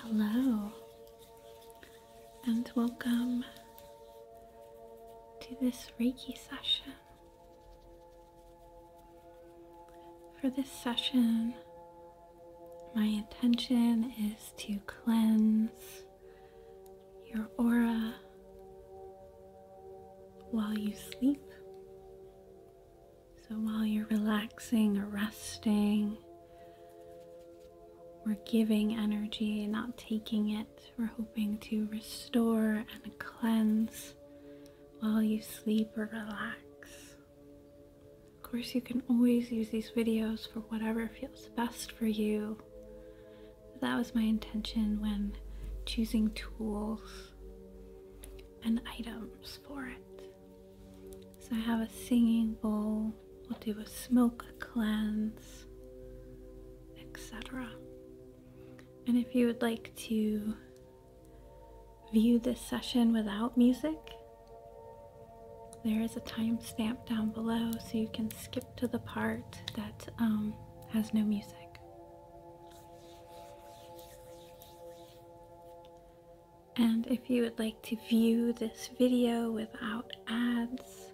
Hello, and welcome to this Reiki session. For this session, my intention is to cleanse your aura while you sleep so while you're relaxing or resting, we're giving energy, not taking it. We're hoping to restore and cleanse while you sleep or relax. Of course, you can always use these videos for whatever feels best for you. That was my intention when choosing tools and items for it. So I have a singing bowl, we'll do a smoke cleanse, etc. And if you would like to view this session without music, there is a timestamp down below so you can skip to the part that um, has no music. And if you would like to view this video without ads,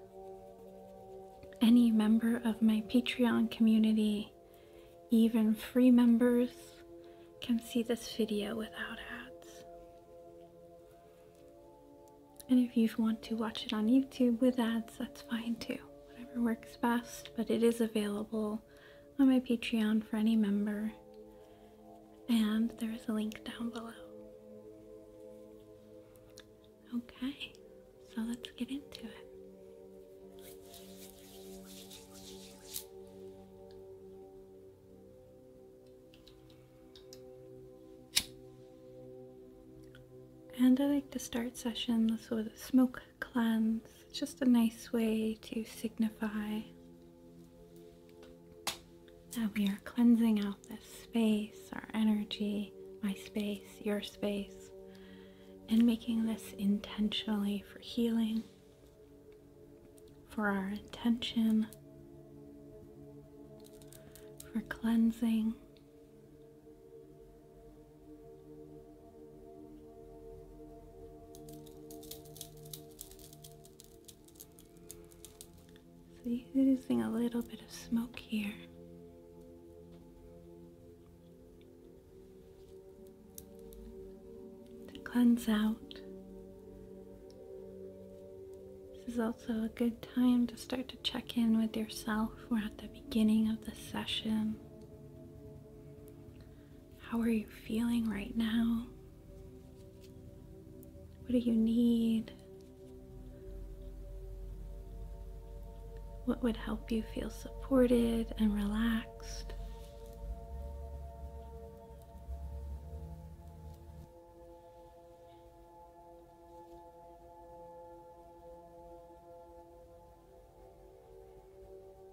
any member of my Patreon community, even free members, can see this video without ads. And if you want to watch it on YouTube with ads, that's fine too. Whatever works best, but it is available on my Patreon for any member and there is a link down below. Okay, so let's get into it. And I like to start sessions with a smoke cleanse. It's just a nice way to signify that we are cleansing out this space, our energy, my space, your space, and making this intentionally for healing, for our intention, for cleansing. So using a little bit of smoke here. To cleanse out. This is also a good time to start to check in with yourself. We're at the beginning of the session. How are you feeling right now? What do you need? What would help you feel supported and relaxed?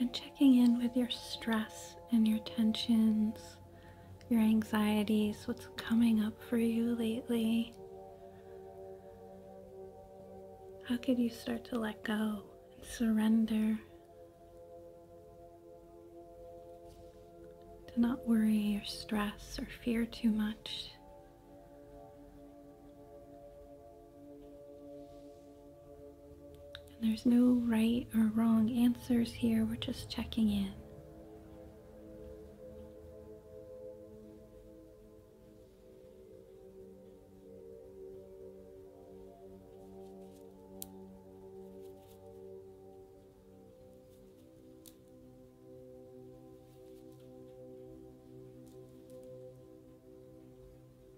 And checking in with your stress and your tensions, your anxieties, what's coming up for you lately. How could you start to let go and surrender? To not worry or stress or fear too much there's no right or wrong answers here, we're just checking in.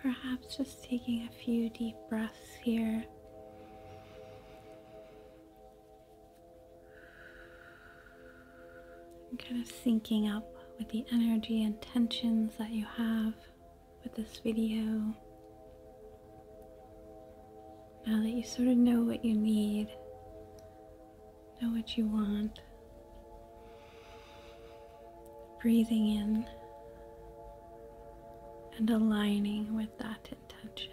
Perhaps just taking a few deep breaths here I'm kind of syncing up with the energy and tensions that you have with this video. Now that you sort of know what you need, know what you want, breathing in and aligning with that intention.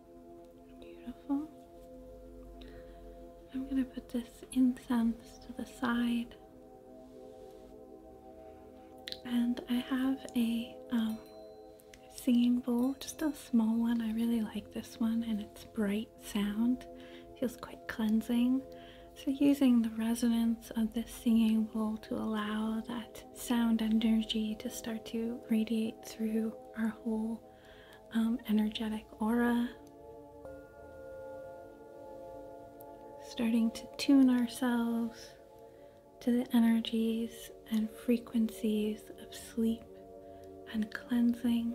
Beautiful. I'm going to put this incense to the side. And I have a um, singing bowl, just a small one. I really like this one, and it's bright sound, feels quite cleansing. So, using the resonance of this singing bowl to allow that sound energy to start to radiate through our whole um, energetic aura. Starting to tune ourselves to the energies and frequencies of sleep and cleansing.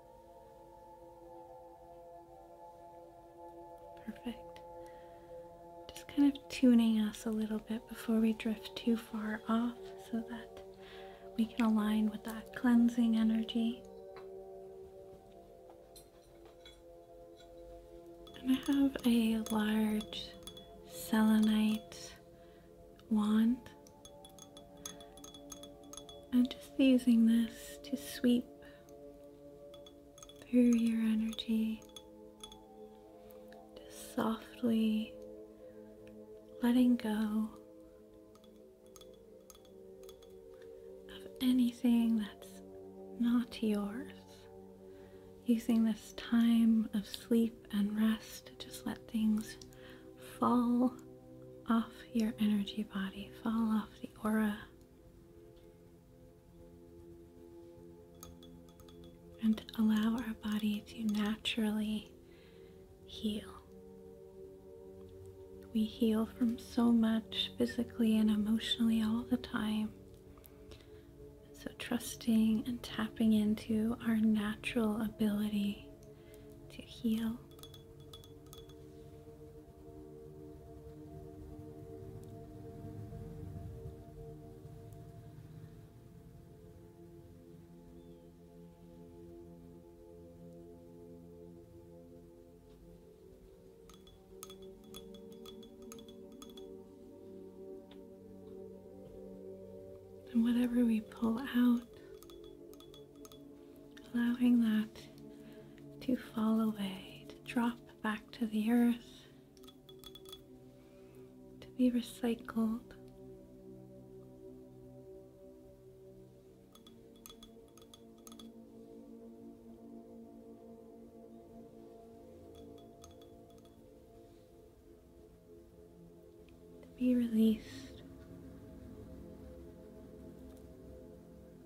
Perfect. Just kind of tuning us a little bit before we drift too far off so that we can align with that cleansing energy. And I have a large selenite wand I'm just using this to sweep through your energy, just softly letting go of anything that's not yours. Using this time of sleep and rest to just let things fall off your energy body, fall off the aura and allow our body to naturally heal. We heal from so much physically and emotionally all the time. So, trusting and tapping into our natural ability to heal and whatever we pull out allowing that to fall away, to drop back to the earth, to be recycled. to Be released.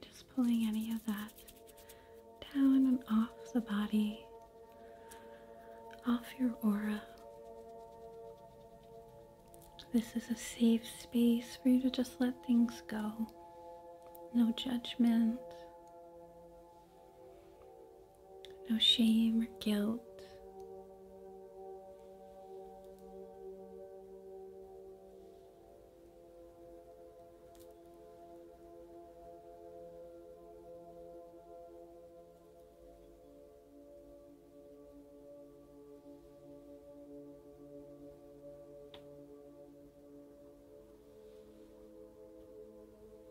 Just pulling any of that down and off the body, off your aura. This is a safe space for you to just let things go. No judgment no shame or guilt.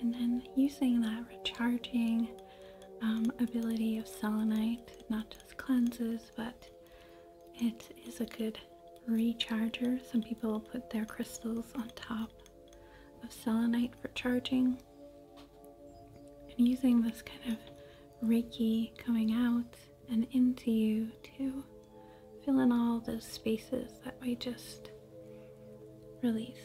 And then using that recharging um, ability of selenite, not just cleanses, but it is a good recharger. Some people put their crystals on top of selenite for charging and using this kind of reiki coming out and into you to fill in all those spaces that we just released.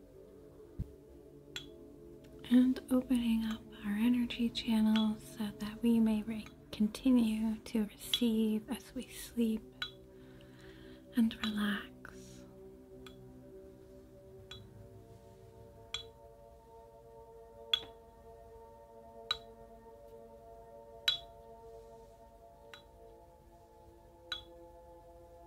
and opening up our energy channels so that we may continue to receive as we sleep and relax.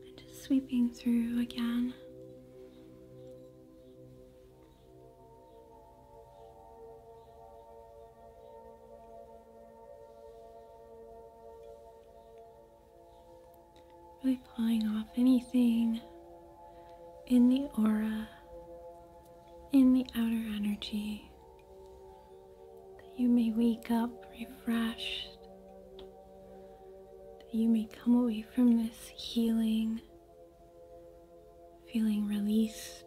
And just sweeping through again, Really pulling off anything in the aura, in the outer energy, that you may wake up refreshed, that you may come away from this healing feeling released.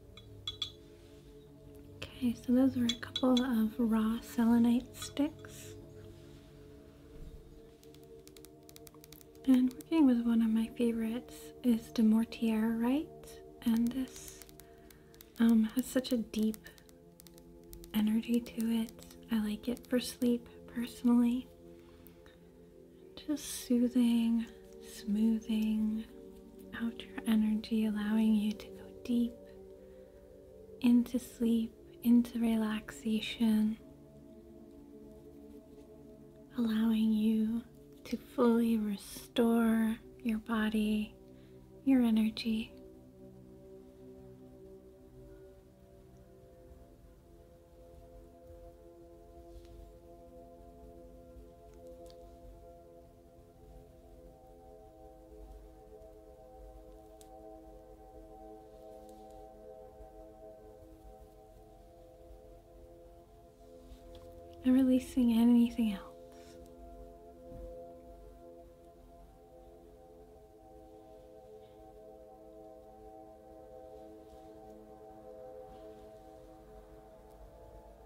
Okay, so those were a couple of raw selenite sticks. And working with one of my favorites is De Mortierite, and this um, has such a deep energy to it. I like it for sleep personally. Just soothing, smoothing, out your energy, allowing you to go deep into sleep, into relaxation, allowing you to fully restore your body, your energy. I'm releasing anything else.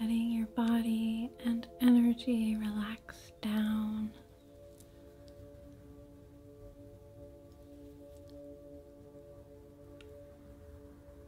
Letting your body and energy relax down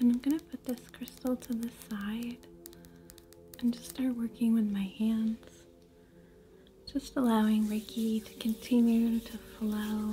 And I'm going to put this crystal to the side and just start working with my hands. Just allowing Reiki to continue to flow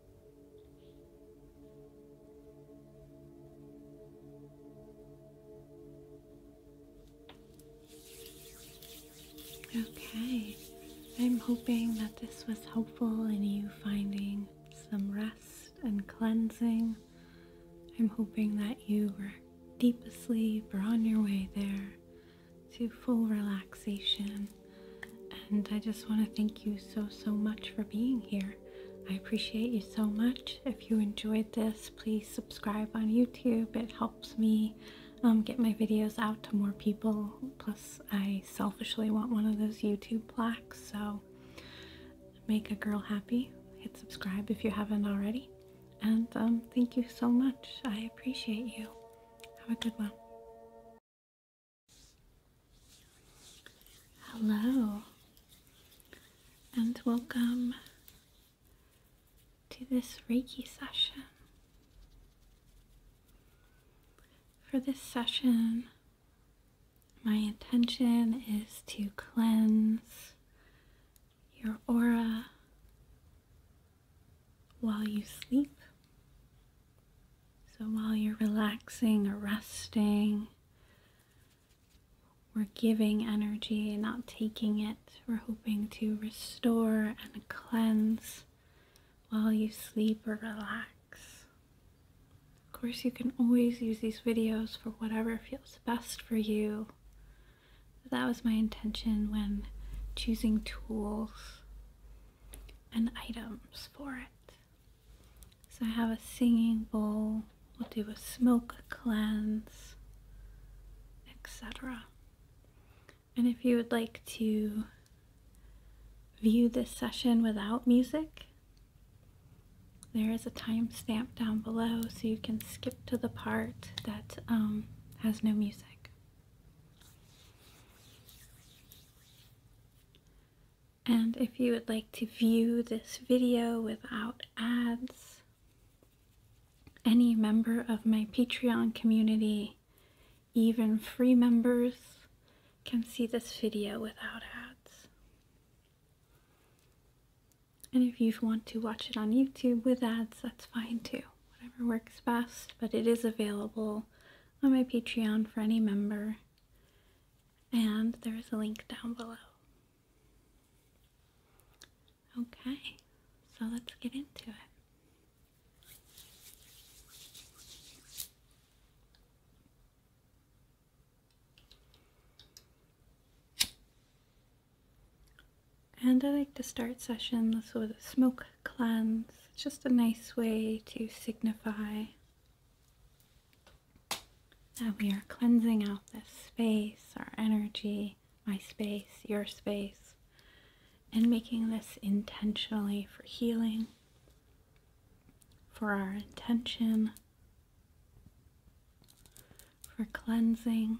Okay, I'm hoping that this was helpful in you finding some rest and cleansing. I'm hoping that you were deep asleep or on your way there to full relaxation. And I just want to thank you so, so much for being here. I appreciate you so much. If you enjoyed this, please subscribe on YouTube. It helps me um, get my videos out to more people. Plus, I selfishly want one of those YouTube plaques, so make a girl happy. Hit subscribe if you haven't already. And um, thank you so much. I appreciate you. Have a good one. Hello, and welcome to this Reiki session. For this session, my intention is to cleanse your aura while you sleep. So while you're relaxing or resting, we're giving energy and not taking it. We're hoping to restore and cleanse while you sleep or relax. Of course, you can always use these videos for whatever feels best for you. But that was my intention when choosing tools and items for it. So I have a singing bowl, we'll do a smoke cleanse, etc. And if you would like to view this session without music, there is a timestamp down below so you can skip to the part that um, has no music. And if you would like to view this video without ads, any member of my Patreon community, even free members, can see this video without ads. And if you want to watch it on YouTube with ads, that's fine too. Whatever works best, but it is available on my Patreon for any member and there is a link down below. Okay, so let's get into it. And I like to start sessions with a smoke cleanse. It's just a nice way to signify that we are cleansing out this space, our energy, my space, your space, and making this intentionally for healing, for our intention, for cleansing.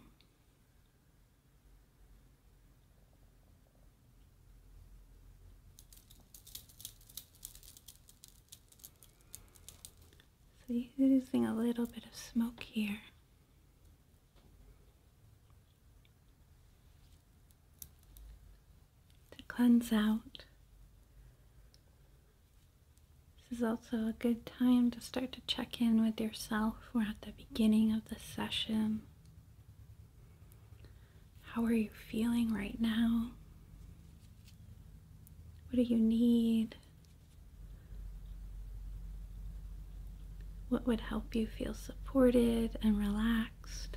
So you using a little bit of smoke here. To cleanse out. This is also a good time to start to check in with yourself. We're at the beginning of the session. How are you feeling right now? What do you need? What would help you feel supported and relaxed?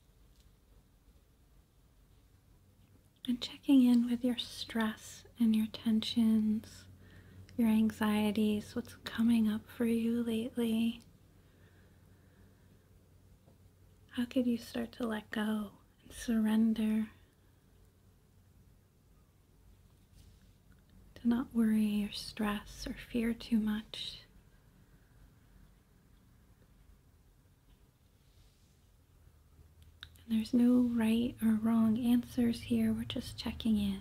And checking in with your stress and your tensions, your anxieties, what's coming up for you lately. How could you start to let go and surrender? To not worry or stress or fear too much. And there's no right or wrong answers here, we're just checking in.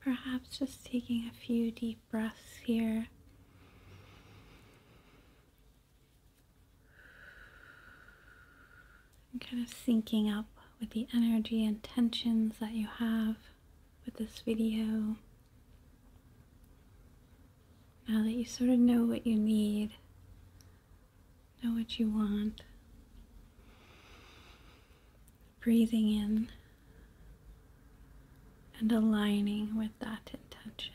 Perhaps just taking a few deep breaths here. I'm kind of syncing up with the energy and tensions that you have with this video. Now that you sort of know what you need, know what you want, breathing in and aligning with that intention.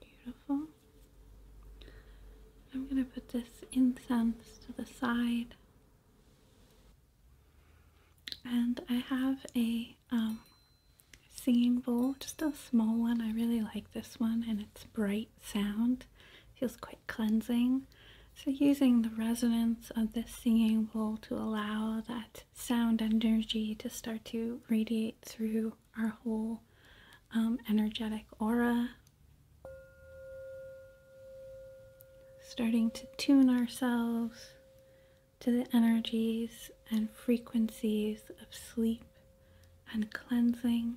Beautiful. I'm going to put this incense to the side. And I have a um, singing bowl, just a small one. I really like this one and it's bright sound. Feels quite cleansing. So using the resonance of this singing bowl to allow that sound energy to start to radiate through our whole um, energetic aura, starting to tune ourselves to the energies and frequencies of sleep and cleansing.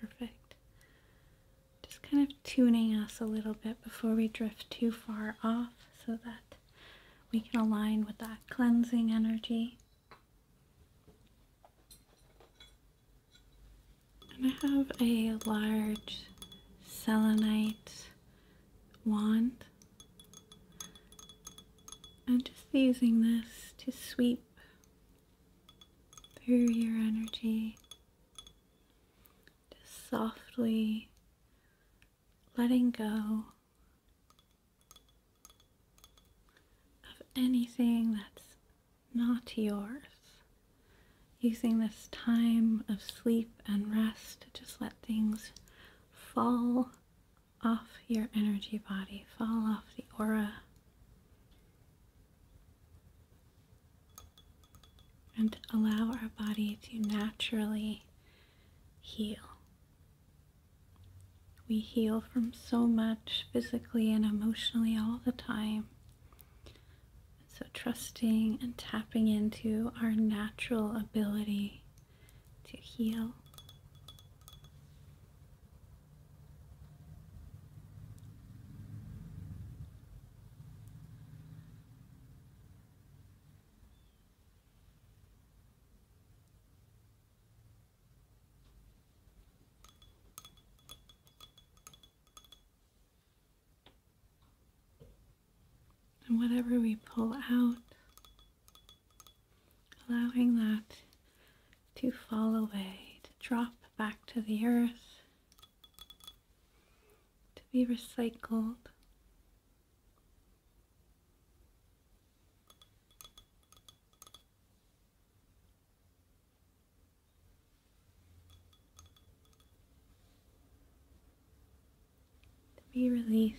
Perfect. Just kind of tuning us a little bit before we drift too far off so that we can align with that cleansing energy. And I have a large selenite wand I'm just using this to sweep through your energy, just softly letting go of anything that's not yours. Using this time of sleep and rest to just let things fall off your energy body, fall off the aura, and allow our body to naturally heal. We heal from so much physically and emotionally all the time. So, trusting and tapping into our natural ability to heal. And whatever we pull out allowing that to fall away, to drop back to the earth, to be recycled. to Be released.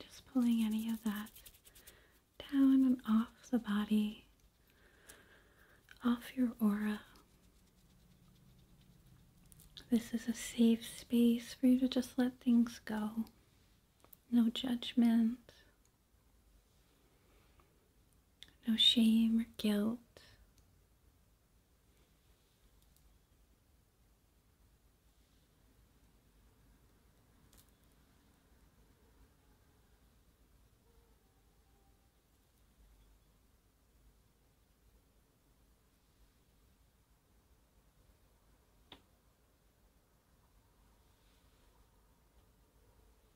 Just pulling any of that down and off the body, off your aura. This is a safe space for you to just let things go. No judgment no shame or guilt.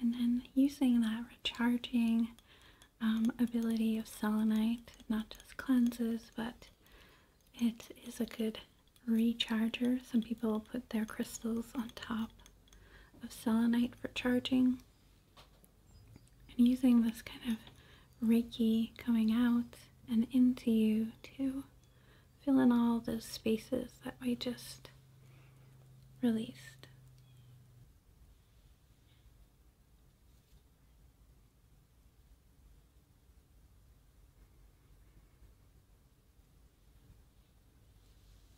And then using that recharging um, ability of selenite, not just cleanses, but it is a good recharger. Some people put their crystals on top of selenite for charging and using this kind of reiki coming out and into you to fill in all those spaces that we just released.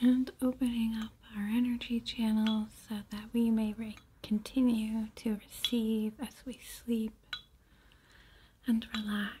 and opening up our energy channels so that we may continue to receive as we sleep and relax.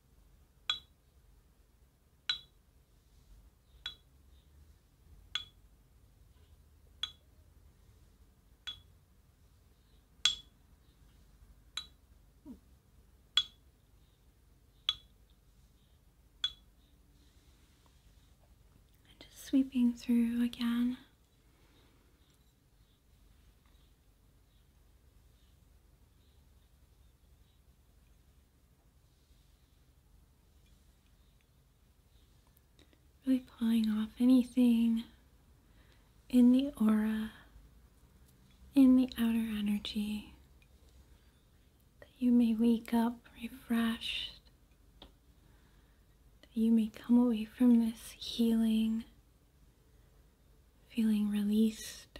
And just sweeping through again. Really pulling off anything in the aura, in the outer energy, that you may wake up refreshed, that you may come away from this healing feeling released.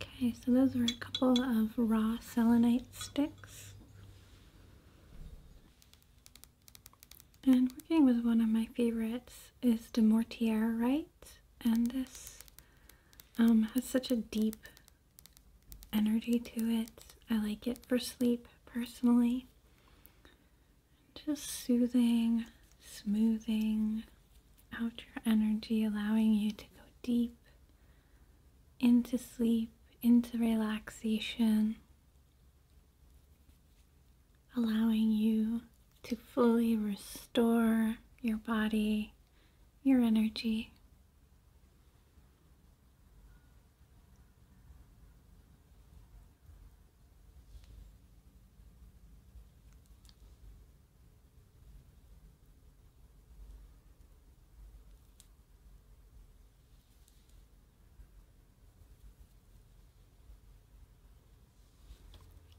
Okay, so those were a couple of raw selenite sticks. And working with one of my favorites is the Mortierite, and this um, has such a deep energy to it. I like it for sleep personally. Just soothing, smoothing, out your energy, allowing you to go deep into sleep, into relaxation, allowing you to fully restore your body, your energy.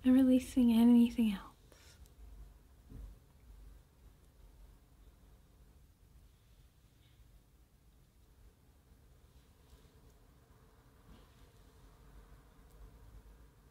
I'm releasing anything else.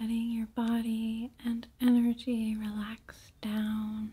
Letting your body and energy relax down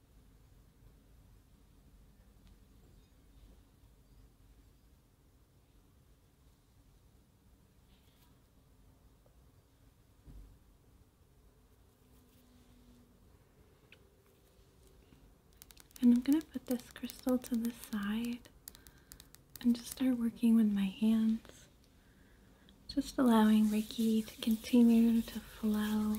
And I'm going to put this crystal to the side and just start working with my hands. Just allowing Reiki to continue to flow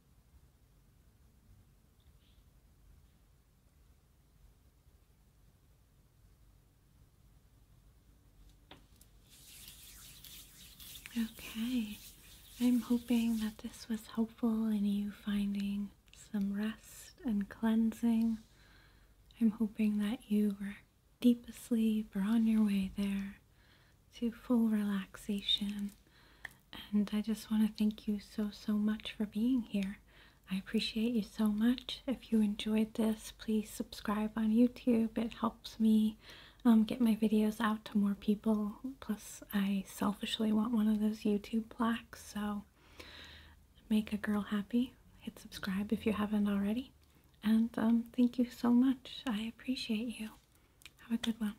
Okay, I'm hoping that this was helpful in you finding some rest and cleansing. I'm hoping that you were deep asleep or on your way there to full relaxation and I just want to thank you so, so much for being here. I appreciate you so much. If you enjoyed this, please subscribe on YouTube. It helps me um, get my videos out to more people. Plus, I selfishly want one of those YouTube plaques, so make a girl happy. Hit subscribe if you haven't already. And um, thank you so much. I appreciate you. Have a good one.